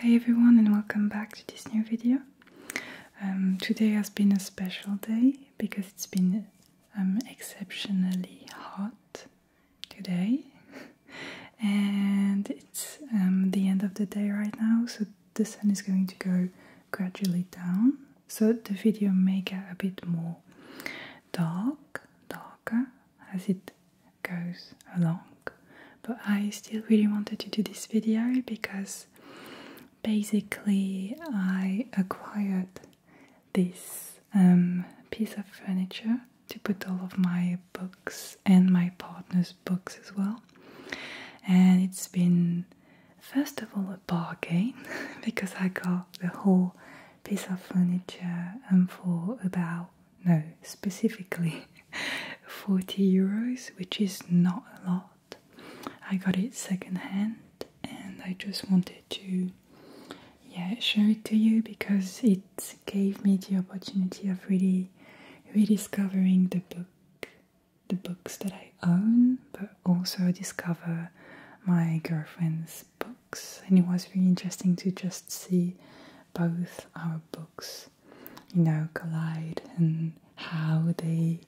Hey everyone and welcome back to this new video. Um, today has been a special day because it's been um, exceptionally hot today and it's um, the end of the day right now so the sun is going to go gradually down so the video may get a bit more dark darker as it goes along but I still really wanted to do this video because basically I acquired this um, piece of furniture to put all of my books and my partner's books as well and it's been first of all, a bargain because I got the whole piece of furniture and um, for about no, specifically 40 euros, which is not a lot. I got it secondhand and I just wanted to yeah show it to you because it gave me the opportunity of really rediscovering the book the books that I own, but also discover my girlfriend's books. And it was really interesting to just see both our books, you know, collide and how they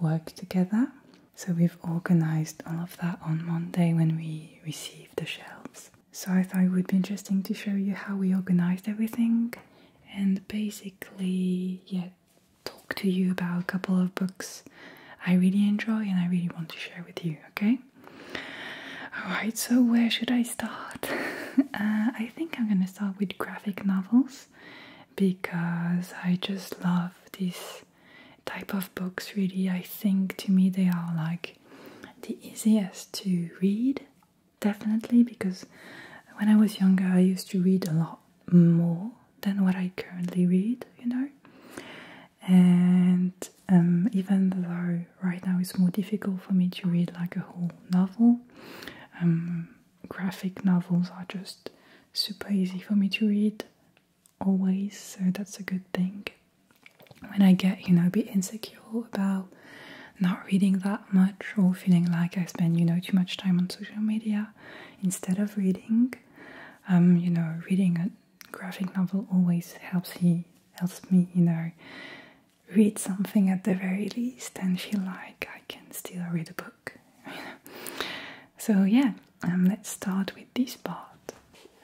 work together. So we've organized all of that on Monday when we received the shelves. So I thought it would be interesting to show you how we organized everything. And basically, yeah, talk to you about a couple of books I really enjoy and I really want to share with you, okay? Alright, so where should I start? Uh, I think I'm gonna start with graphic novels because I just love this type of books, really. I think to me they are like the easiest to read, definitely, because when I was younger, I used to read a lot more than what I currently read, you know. And um, even though right now it's more difficult for me to read like a whole novel, um, graphic novels are just super easy for me to read always, so that's a good thing. When I get, you know, a bit insecure about not reading that much or feeling like I spend, you know, too much time on social media instead of reading, um, you know, reading a graphic novel always helps me, helps me, you know, read something at the very least and feel like I can still read a book. You know? So yeah, um, let's start with this part.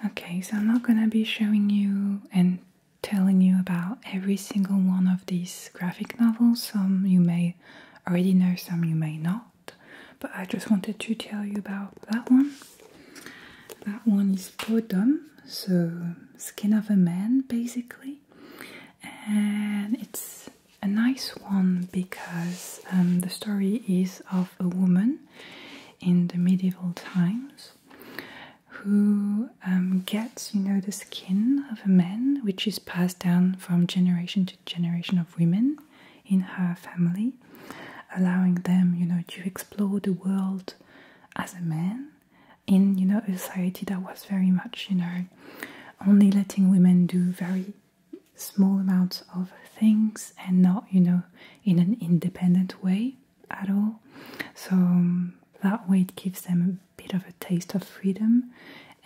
Okay, so I'm not gonna be showing you and telling you about every single one of these graphic novels. Some you may already know, some you may not. But I just wanted to tell you about that one. That one is Podum, so Skin of a Man basically. And it's a nice one because um, the story is of a woman in the medieval times who um, gets, you know, the skin of a man, which is passed down from generation to generation of women in her family, allowing them, you know, to explore the world as a man in, you know, a society that was very much, you know, only letting women do very small amounts of things and not, you know, in an independent way at all. So um, that way it gives them a bit of a taste of freedom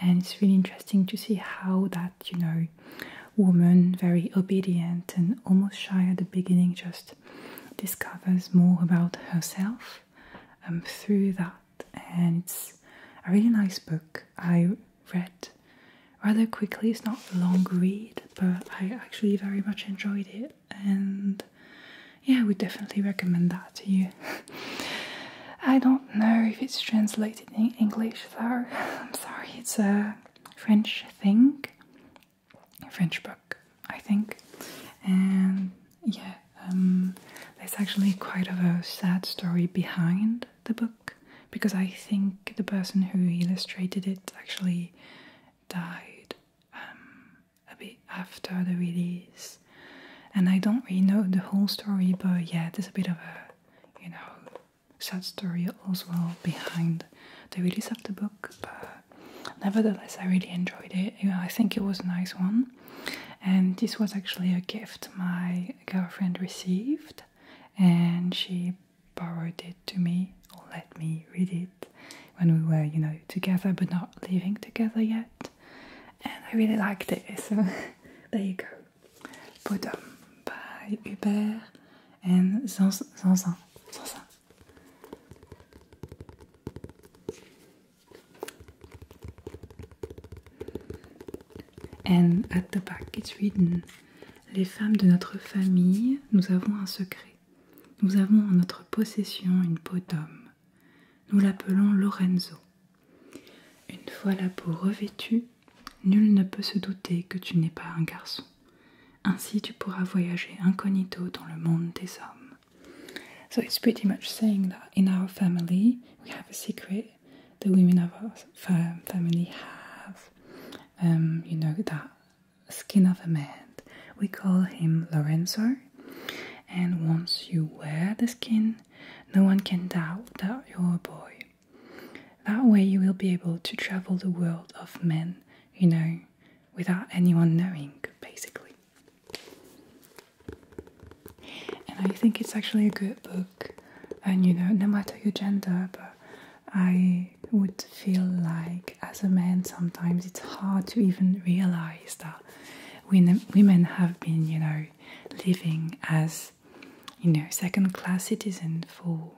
and it's really interesting to see how that, you know, woman, very obedient and almost shy at the beginning, just discovers more about herself um, through that. And it's a really nice book. I read rather quickly, it's not a long read, but I actually very much enjoyed it. And yeah, I would definitely recommend that to you. I don't know if it's translated English sorry. I'm sorry, it's a French thing, a French book, I think. And yeah, um, there's actually quite of a sad story behind the book because I think the person who illustrated it actually died um, a bit after the release. And I don't really know the whole story, but yeah, there's a bit of a, you know, sad story as well behind the release of the book, but nevertheless, I really enjoyed it. I think it was a nice one, and this was actually a gift my girlfriend received, and she borrowed it to me or let me read it when we were, you know, together but not living together yet. And I really liked it, so there you go. d'homme, by Hubert and And at the back written Les femmes de notre famille, nous avons un secret. Nous avons en notre possession une peau d'homme. Nous l'appelons Lorenzo. Une fois la peau revêtue, Nul ne peut se douter que tu n'es pas un garçon. Ainsi tu pourras voyager incognito dans le monde des hommes. So it's pretty much saying that in our family we have a secret. The women of our family have, um, you know, that skin of a man. We call him Lorenzo. And once you wear the skin, no one can doubt that you're a boy. That way, you will be able to travel the world of men, you know, without anyone knowing, basically. And I think it's actually a good book, and you know, no matter your gender, but I would feel like as a man sometimes it's hard to even realize that women have been, you know, living as you know second class citizens for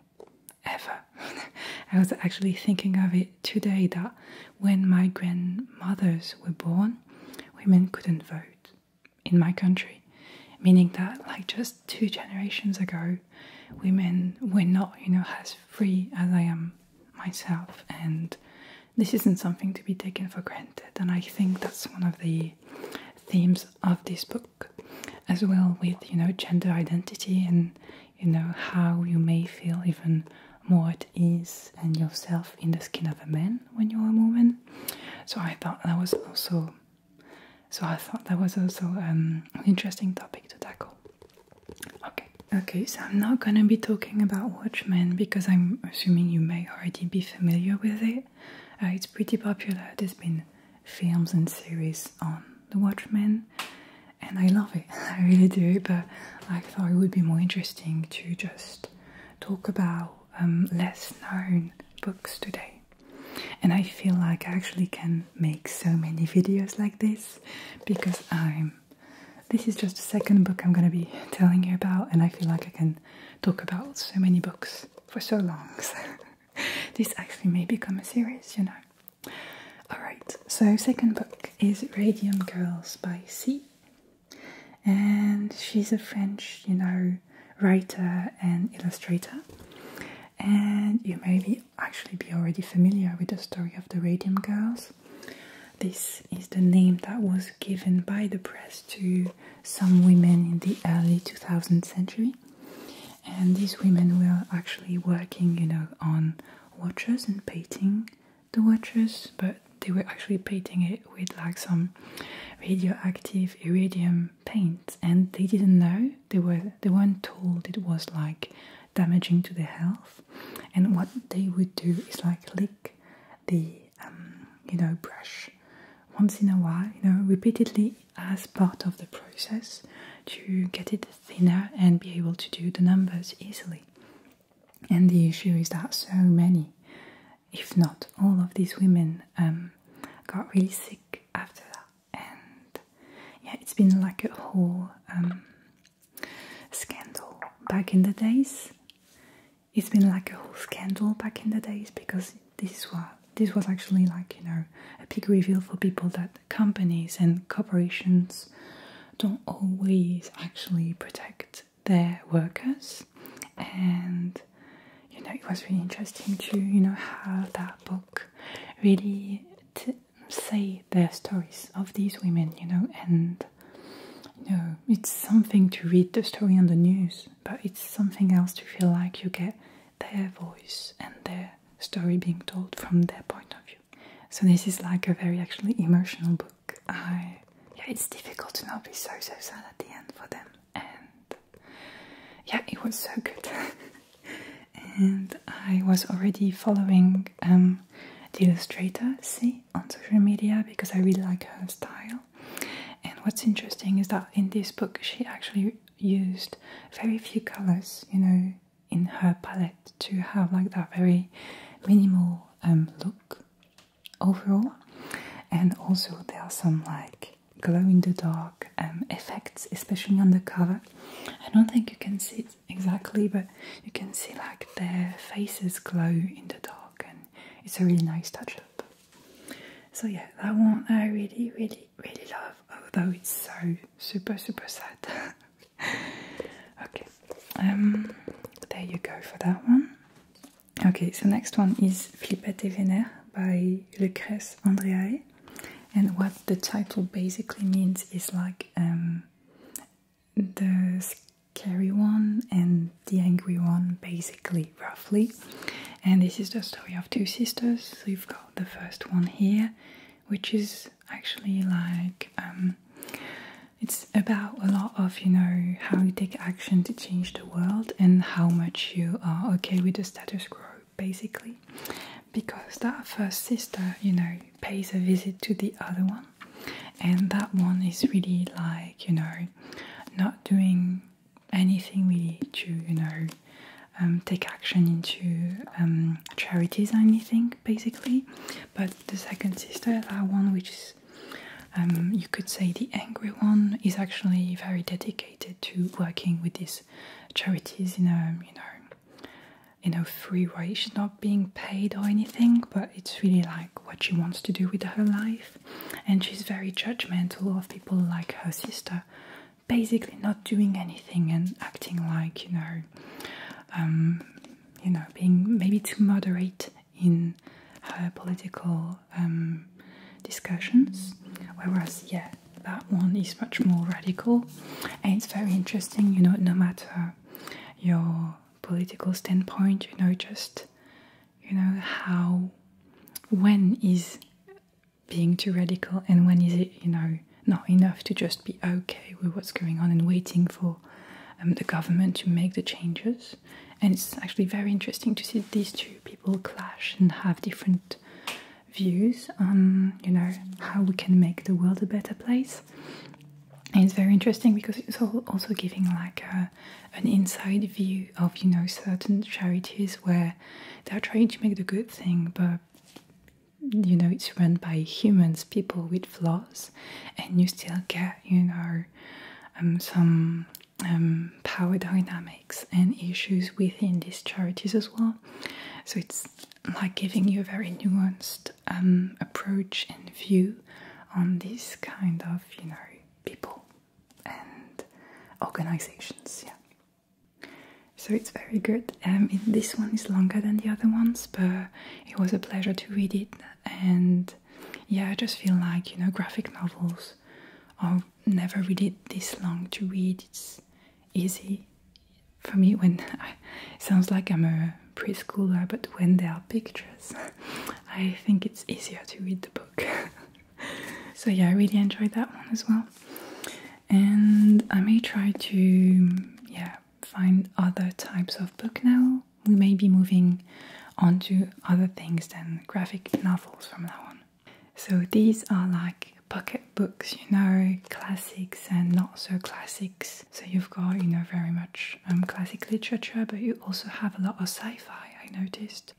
ever. I was actually thinking of it today that when my grandmothers were born, women couldn't vote in my country, meaning that, like, just two generations ago, women were not, you know, as free as I am myself, and this isn't something to be taken for granted. And I think that's one of the themes of this book, as well with you know gender identity and you know how you may feel even more at ease and yourself in the skin of a man when you're a woman. So I thought that was also so I thought that was also um, an interesting topic to tackle. Okay. Okay, so I'm not gonna be talking about Watchmen because I'm assuming you may already be familiar with it. Uh, it's pretty popular. There's been films and series on The Watchmen, and I love it, I really do. But I thought it would be more interesting to just talk about um, less known books today. And I feel like I actually can make so many videos like this because I'm this is just the second book I'm going to be telling you about, and I feel like I can talk about so many books for so long. this actually may become a series, you know. Alright, so second book is Radium Girls by C. And she's a French, you know, writer and illustrator. And you may be actually be already familiar with the story of the Radium Girls. This is the name that was given by the press to some women in the early 2000th century and these women were actually working, you know, on watches and painting the watches, but they were actually painting it with like some radioactive iridium paint, and they didn't know. They were they weren't told it was like damaging to their health. And what they would do is like lick the um, you know brush once in a while, you know, repeatedly as part of the process to get it thinner and be able to do the numbers easily. And the issue is that so many, if not all of these women, um, got really sick after that. And yeah, it's been like a whole um, scandal back in the days. It's been like a whole scandal back in the days because this was this was actually like you know a big reveal for people that companies and corporations don't always actually protect their workers and you know it was really interesting to you know have that book really say their stories of these women you know and you know it's something to read the story on the news but it's something else to feel like you get their voice and their story being told from their point of view. So this is like a very actually emotional book. I yeah, it's difficult to not be so so sad at the end for them, and yeah, it was so good. and I was already following um, the illustrator, see, on social media because I really like her style. And what's interesting is that in this book, she actually used very few colors, you know, in her palette to have like that very minimal um, look overall. And also there are some like glow in the dark um, effects, especially on the cover. I don't think you can see exactly, but you can see like their faces glow in the dark, and it's a really nice touch up. So yeah, that one I really, really, really love although oh, it's so super super sad. okay, um, there you go for that one. Okay, so next one is Flippette et Vénère by Lucrèce Andreae, and what the title basically means is like um, the scary one and the angry one, basically, roughly. And this is the story of two sisters. So you've got the first one here, which is actually like um, it's about a lot of you know how you take action to change the world and how much you are okay with the status quo basically because that first sister you know pays a visit to the other one and that one is really like you know not doing anything really to you know um, take action into um, charities or anything, basically. But the second sister, that one which is, um, you could say, the angry one, is actually very dedicated to working with these charities in a you know, in a free way. She's not being paid or anything, but it's really like what she wants to do with her life, and she's very judgmental of people like her sister basically not doing anything and acting like you know um, you know being maybe too moderate in her political um, discussions whereas yeah that one is much more radical and it's very interesting you know no matter your political standpoint you know just you know how when is being too radical and when is it you know not enough to just be okay with what's going on and waiting for um, the government to make the changes and it's actually very interesting to see these two people clash and have different views on you know how we can make the world a better place and it's very interesting because it's also giving like an inside view of you know certain charities where they're trying to make the good thing but you know it's run by humans, people with flaws, and you still get you know um, some um, power dynamics and issues within these charities as well. So it's like giving you a very nuanced um, approach and view on these kind of you know people and organizations. Yeah. So it's very good. Um, this one is longer than the other ones, but it was a pleasure to read it. And yeah, I just feel like, you know, graphic novels are never really this long to read. It's easy for me when it sounds like I'm a preschooler, but when there are pictures, I think it's easier to read the book. so yeah, I really enjoyed that one as well and I may try to yeah find other types of book now. We may be moving on to other things than graphic novels from now on. So these are like pocket books, you know, classics and not so classics. So you've got, you know, very much um, classic literature, but you also have a lot of sci-fi, I noticed.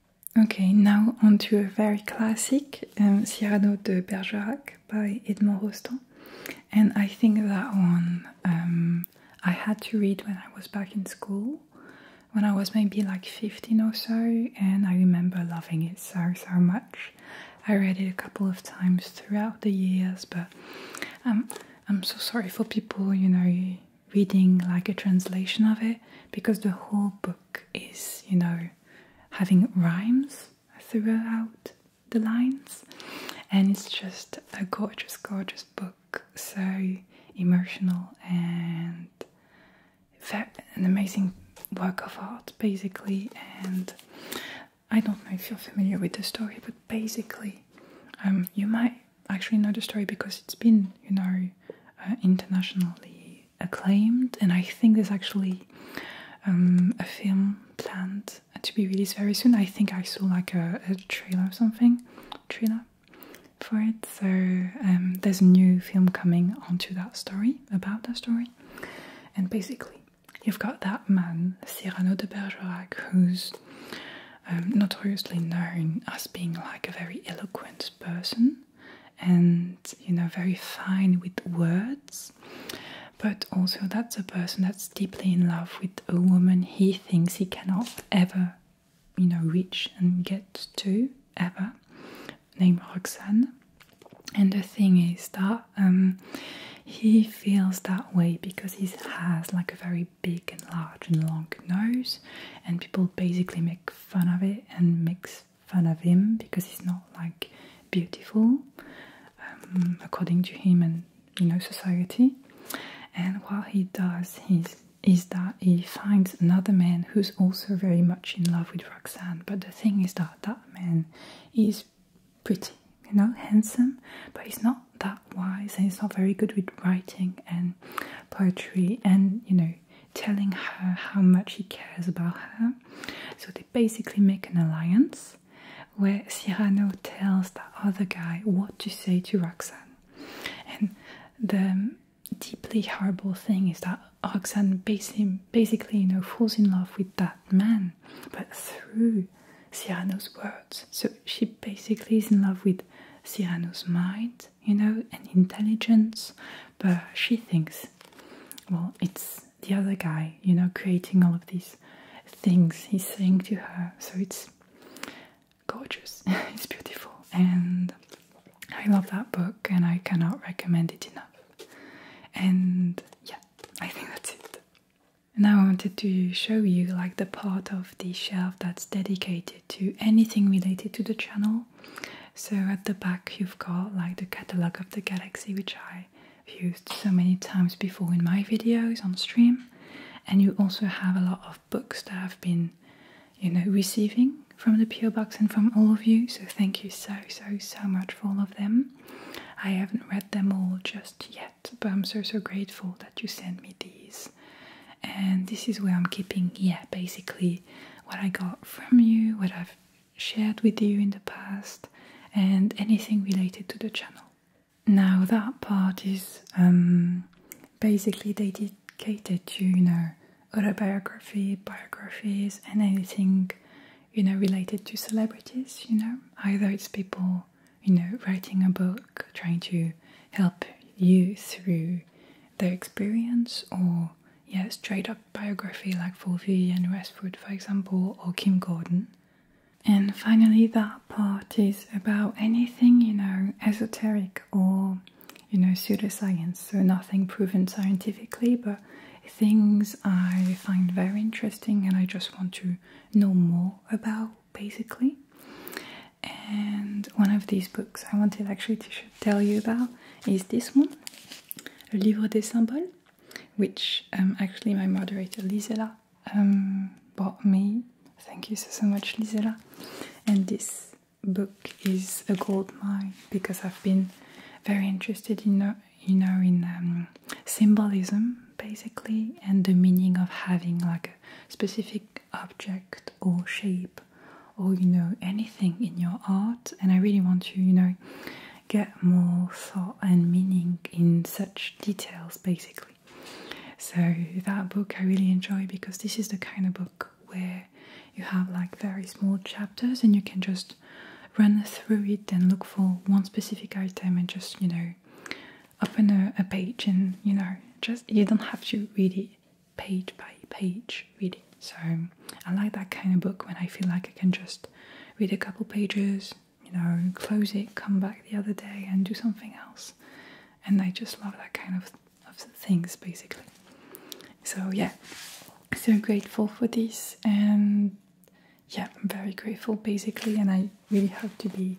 Okay, now on to a very classic um, Cyrano de Bergerac by Edmond Rostand, and I think that one um, I had to read when I was back in school, when I was maybe like 15 or so, and I remember loving it so, so much. I read it a couple of times throughout the years, but um, I'm so sorry for people, you know, reading like a translation of it because the whole book is, you know, having rhymes throughout the lines, and it's just a gorgeous, gorgeous book. So emotional and an amazing work of art, basically. And I don't know if you're familiar with the story, but basically, um, you might actually know the story because it's been, you know, uh, internationally acclaimed, and I think there's actually um, a film planned to be released very soon. I think I saw like a, trailer or something, trailer for it. So um, there's a new film coming onto that story, about that story. And basically, you've got that man, Cyrano de Bergerac, who's um, notoriously known as being like a very eloquent person and, you know, very fine with words but also that's a person that's deeply in love with a woman he thinks he cannot ever, you know, reach and get to ever, named Roxanne. And the thing is that um, he feels that way because he has like a very big and large and long nose, and people basically make fun of it and make fun of him because he's not like beautiful um, according to him and you know society. And what he does is that he finds another man who's also very much in love with Roxanne. But the thing is that that man is pretty, you know, handsome, but he's not that wise and he's not very good with writing and poetry and, you know, telling her how much he cares about her. So they basically make an alliance where Cyrano tells the other guy what to say to Roxanne. And the deeply horrible thing is that Roxanne basically, you know, falls in love with that man, but through Cyrano's words. So she basically is in love with Cyrano's mind, you know, and intelligence, but she thinks, well, it's the other guy, you know, creating all of these things he's saying to her. So it's gorgeous, it's beautiful, and I love that book, and I cannot recommend it enough. And yeah, I think that's it. Now I wanted to show you like the part of the shelf that's dedicated to anything related to the channel. So at the back you've got like the catalogue of the galaxy which I used so many times before in my videos on stream. And you also have a lot of books that I've been, you know, receiving from the PO box and from all of you. So thank you so so so much for all of them. I haven't read them all just yet, but I'm so so grateful that you sent me these. And this is where I'm keeping, yeah, basically what I got from you, what I've shared with you in the past, and anything related to the channel. Now that part is um, basically dedicated to you know autobiography, biographies, and anything you know related to celebrities. You know, either it's people you know writing a book, trying to help you through their experience, or yeah, straight up biography like for Vivienne Westwood, for example, or Kim Gordon. And finally, that part is about anything you know esoteric or you know pseudoscience, so nothing proven scientifically, but things I find very interesting and I just want to know more about basically. And one of these books I wanted actually to tell you about is this one, Le Livre des Symboles, which um, actually my moderator Lisela Lisela um, me. Thank you so, so much, Lizella. And this book is a gold mine because I've been very interested in, uh, you know, in um, symbolism basically and the meaning of having like a specific object or shape or you know anything in your art. And I really want to, you know, get more thought and meaning in such details, basically. So, that book I really enjoy because this is the kind of book where you have like very small chapters and you can just run through it and look for one specific item and just, you know, open a, page and, you know, just you don't have to read it page by page, read So, I like that kind of book when I feel like I can just read a couple pages, you know, close it, come back the other day, and do something else. And I just love that kind of, of things basically. So, yeah, so grateful for this, and yeah, I'm very grateful basically. And I really hope to be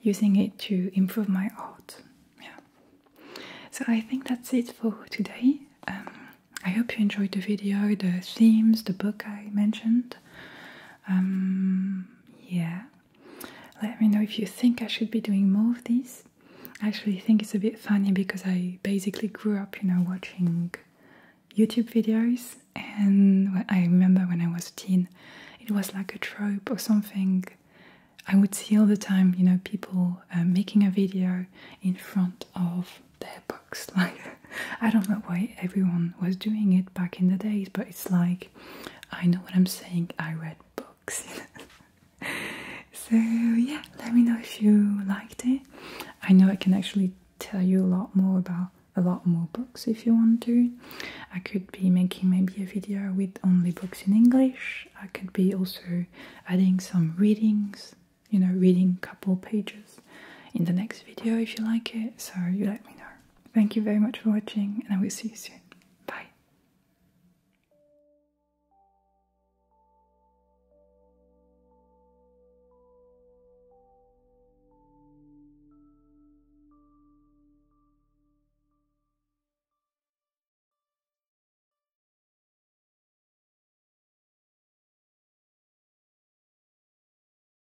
using it to improve my art. Yeah, so I think that's it for today. Um, I hope you enjoyed the video, the themes, the book I mentioned, um, yeah, let me know if you think I should be doing more of these. I actually think it's a bit funny because I basically grew up, you know, watching YouTube videos, and I remember when I was a teen, it was like a trope or something. I would see all the time, you know, people uh, making a video in front of their books, like I don't know why everyone was doing it back in the days, but it's like I know what I'm saying. I read books. so yeah, let me know if you liked it. I know I can actually tell you a lot more about a lot more books if you want to. I could be making maybe a video with only books in English. I could be also adding some readings, you know, reading couple pages in the next video if you like it. So you let me know. Thank you very much for watching, and I will see you soon. Bye.